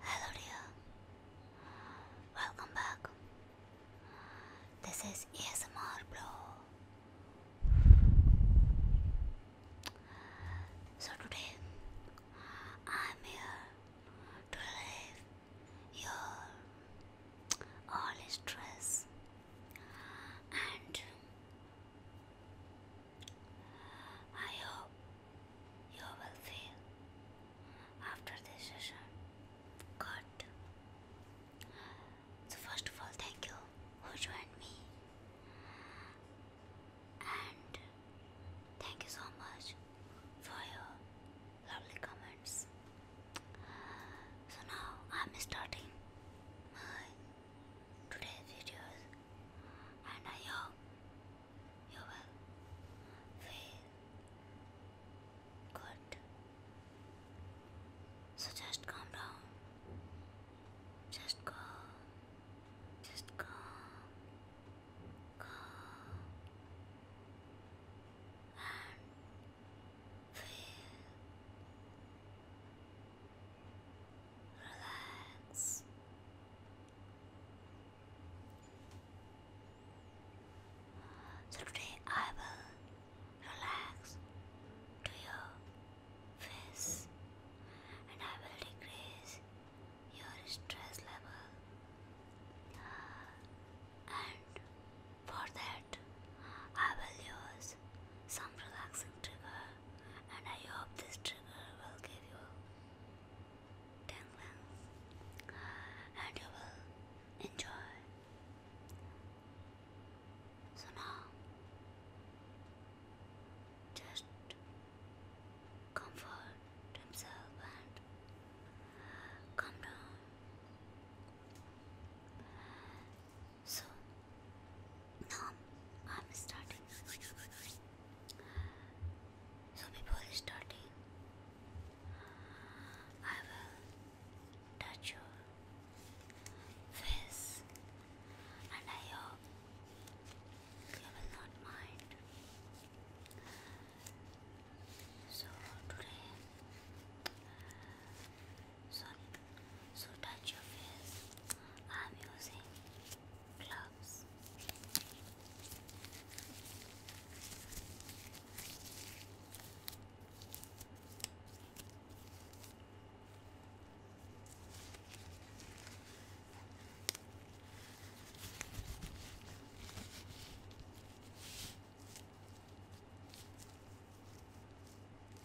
Hello dear. Welcome back. This is ASMR Blow. So today I'm here to relieve your all stress and I hope you will feel after this session good. So first of all, thank you who joined me, and thank you so much for your lovely comments. So now I'm starting my today's videos and I you will feel good. So just calm down. Just calm. Just calm. Calm. And feel Relax. today I will relax to your face and I will decrease your stress level. And for that, I will use some relaxing trigger, and I hope this trigger will give you tingles and you will enjoy. So now, just comfort himself and come down. So now I'm starting. So before starting, I will touch your face, and I hope you will not mind. So today sorry so touch your face I'm using gloves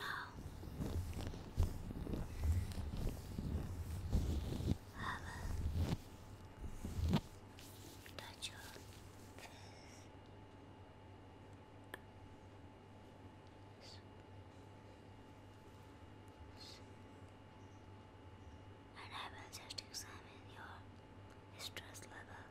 No. Have touch your face. And I will just examine your stress level.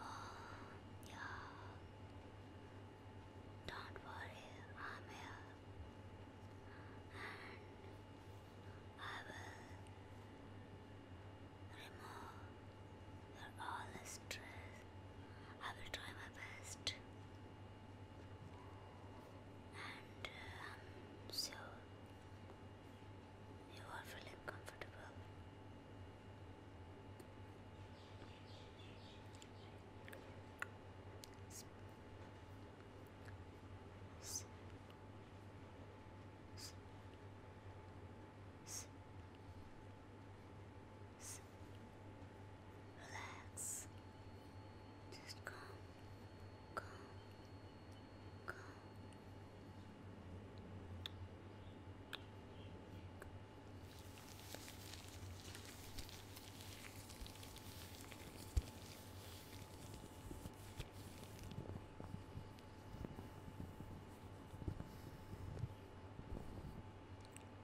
Oh, yeah. Don't worry, I'm here. And I will remove for all the stress. I will try my best. And um, so you are feeling comfortable. Relax. Just calm, calm, calm.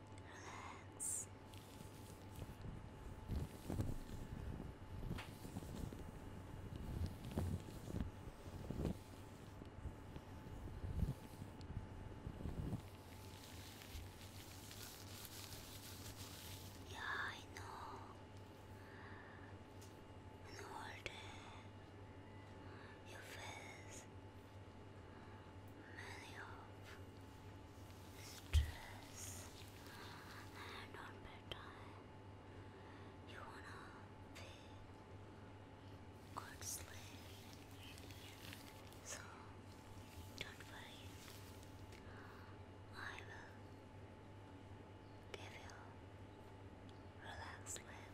Relax. Yeah, I know. And all you face many of stress and on bedtime you wanna feel good so don't worry I will give you relaxed sleep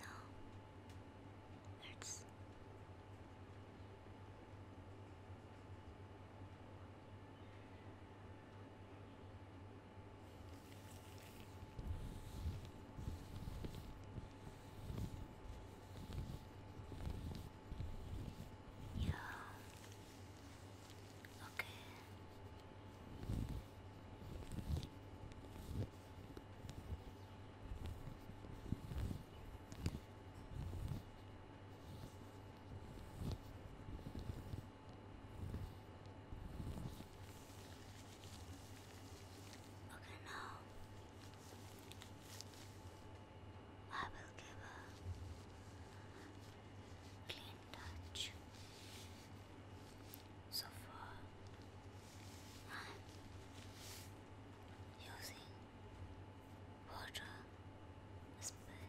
No. Hurts. Yeah. Okay. Okay, now I will give a clean touch. So far, I'm using water spray.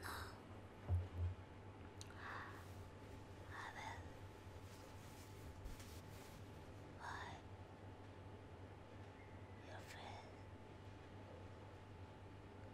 No, I will. Why, your friend?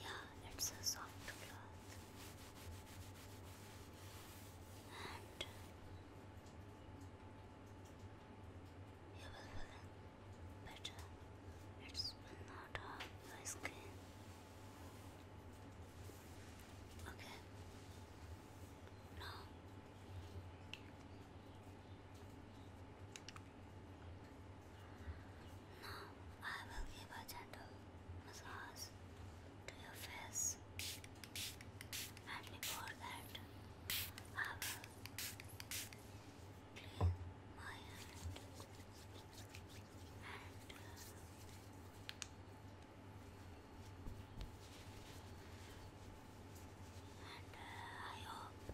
Yeah, it's so soft And you will feel better. It not hurt your skin. Okay, now I will give a gentle massage to your face, and before that, I will clean my hand uh, and I hope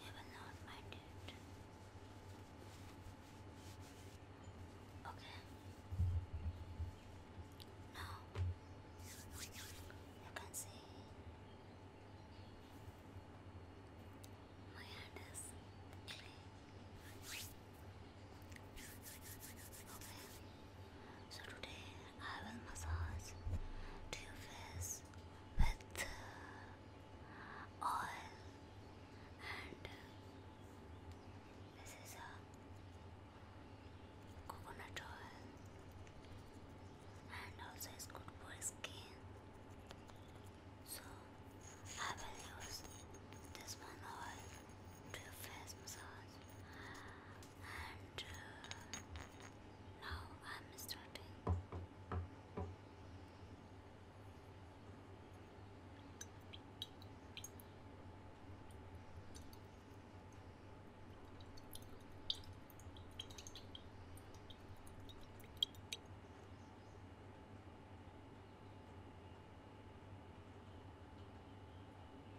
you will not mind it. Okay. Now you can see my hand is clean. Okay. So today I will massage your face with uh, oil and uh, this is a coconut oil and also it's good for skin. So I will use this one oil to your face massage and uh, now I'm starting.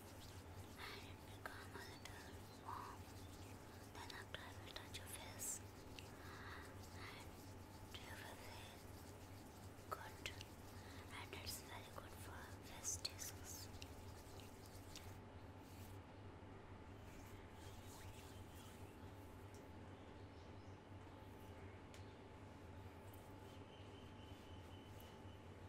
and become a little warm. Then after I touch your face and you will feel and it's very good for face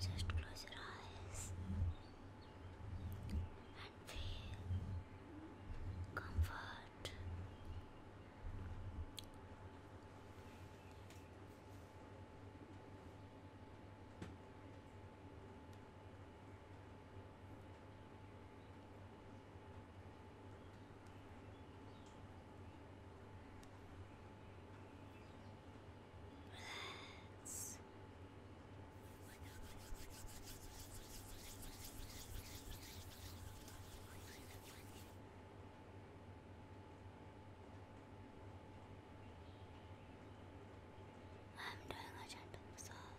Just close your eyes and feel comfort. Relax. I'm doing a gentle massage.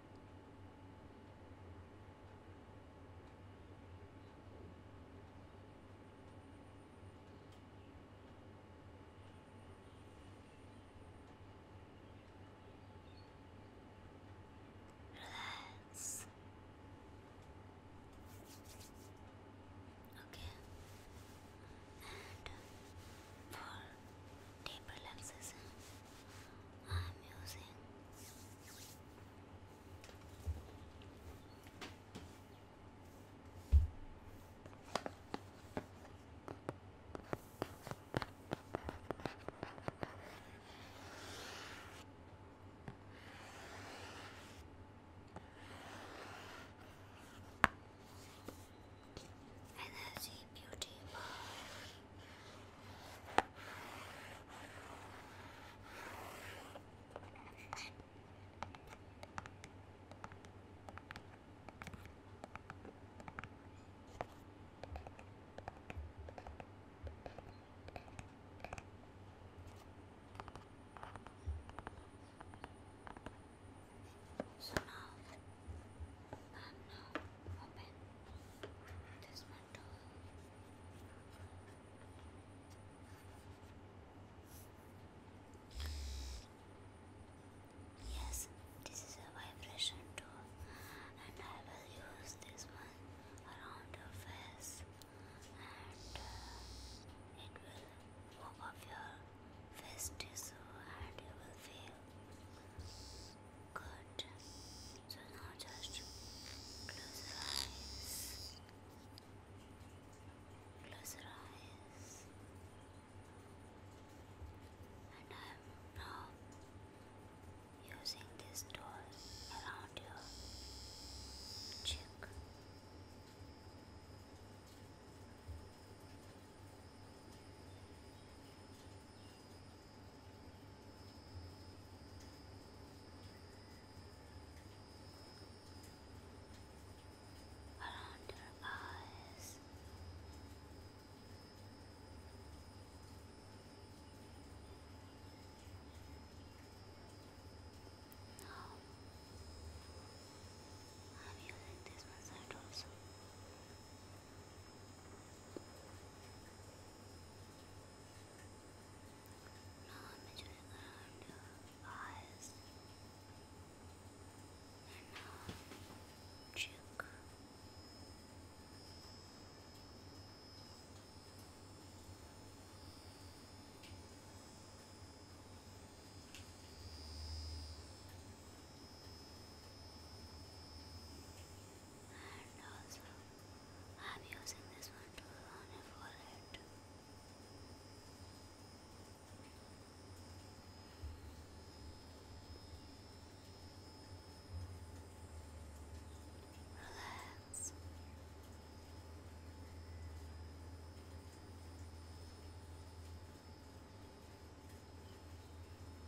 Relax. Okay. And for deep relaxation, I'm using beauty So now, and now open this Yes, this is a vibration tool, and I will use this one around your face, and uh, it will warm up your face tissue, and you will feel good. So now just close your eyes. Close your eyes. And I am now using this tool around your cheek around your eyes. Now, I'm using this one side now between the eyes and now cheek. And also I'm using this one to on your forehead. Relax. Now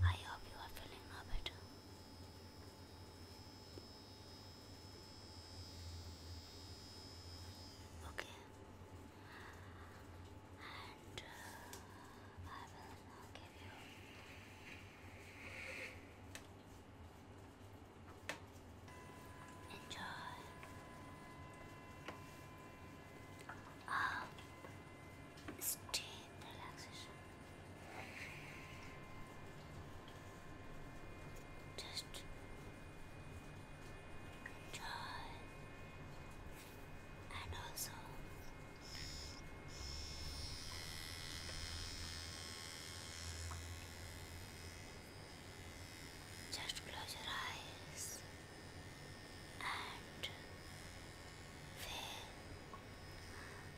I hope you are feeling now better. Okay. And uh, I will now give you enjoy um, steam relaxation. Just enjoy and also just close your eyes and fail.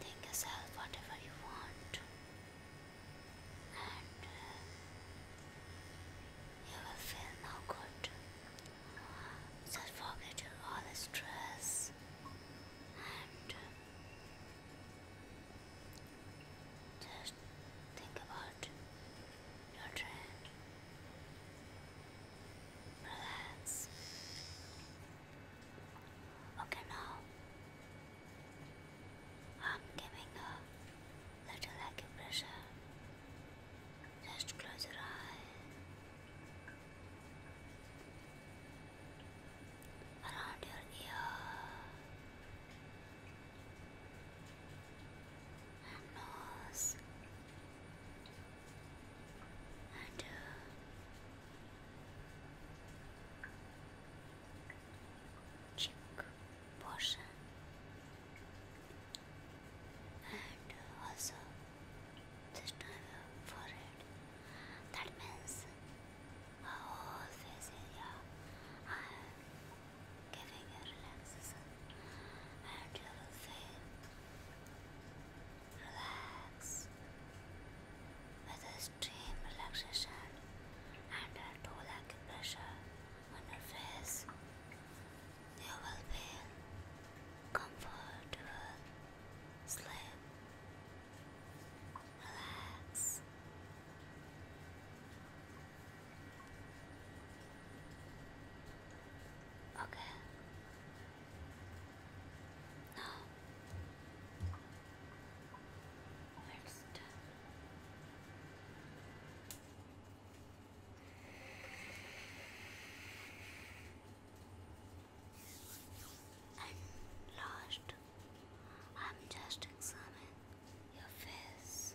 Think yourself whatever you want, and uh, you will feel no good. So forget all the stress and uh, just think about Relax. Okay, now I'm giving a little acupressure. Just close your eye. Around your ear and nose. And uh, cheek portion, and also this time forehead. That means our whole face area giving you relaxation and you will feel relaxed with extreme relaxation and a tool acupressure on your face. You will feel comfortable, sleep, relax. Okay. Now it's And last, I'm just examining your face.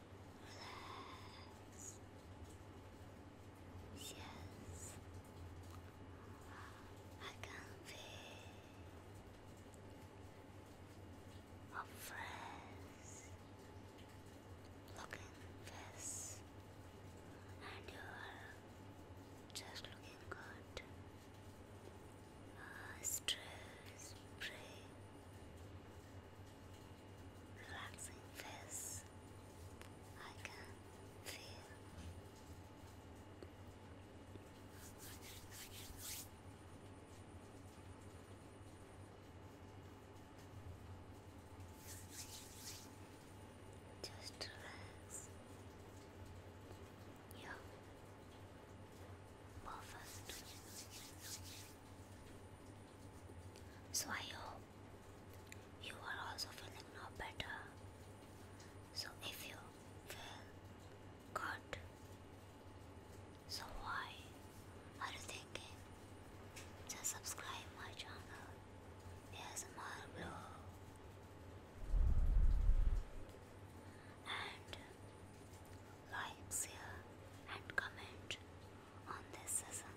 Relax. Yes. I can feel a fresh looking face, and you are just looking good. stress free relaxing this I can feel just relax your perfect so I hope you are also feeling not better. So if you feel good, so why are you thinking? Just subscribe my channel. Yes, my blog. And like, share, and comment on this session.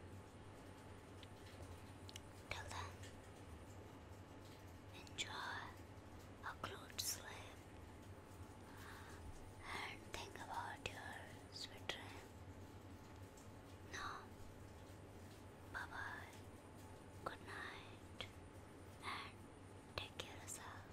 Till then, enjoy a good sleep and think about your sweet dream. Now, bye bye, good night, and take care of yourself.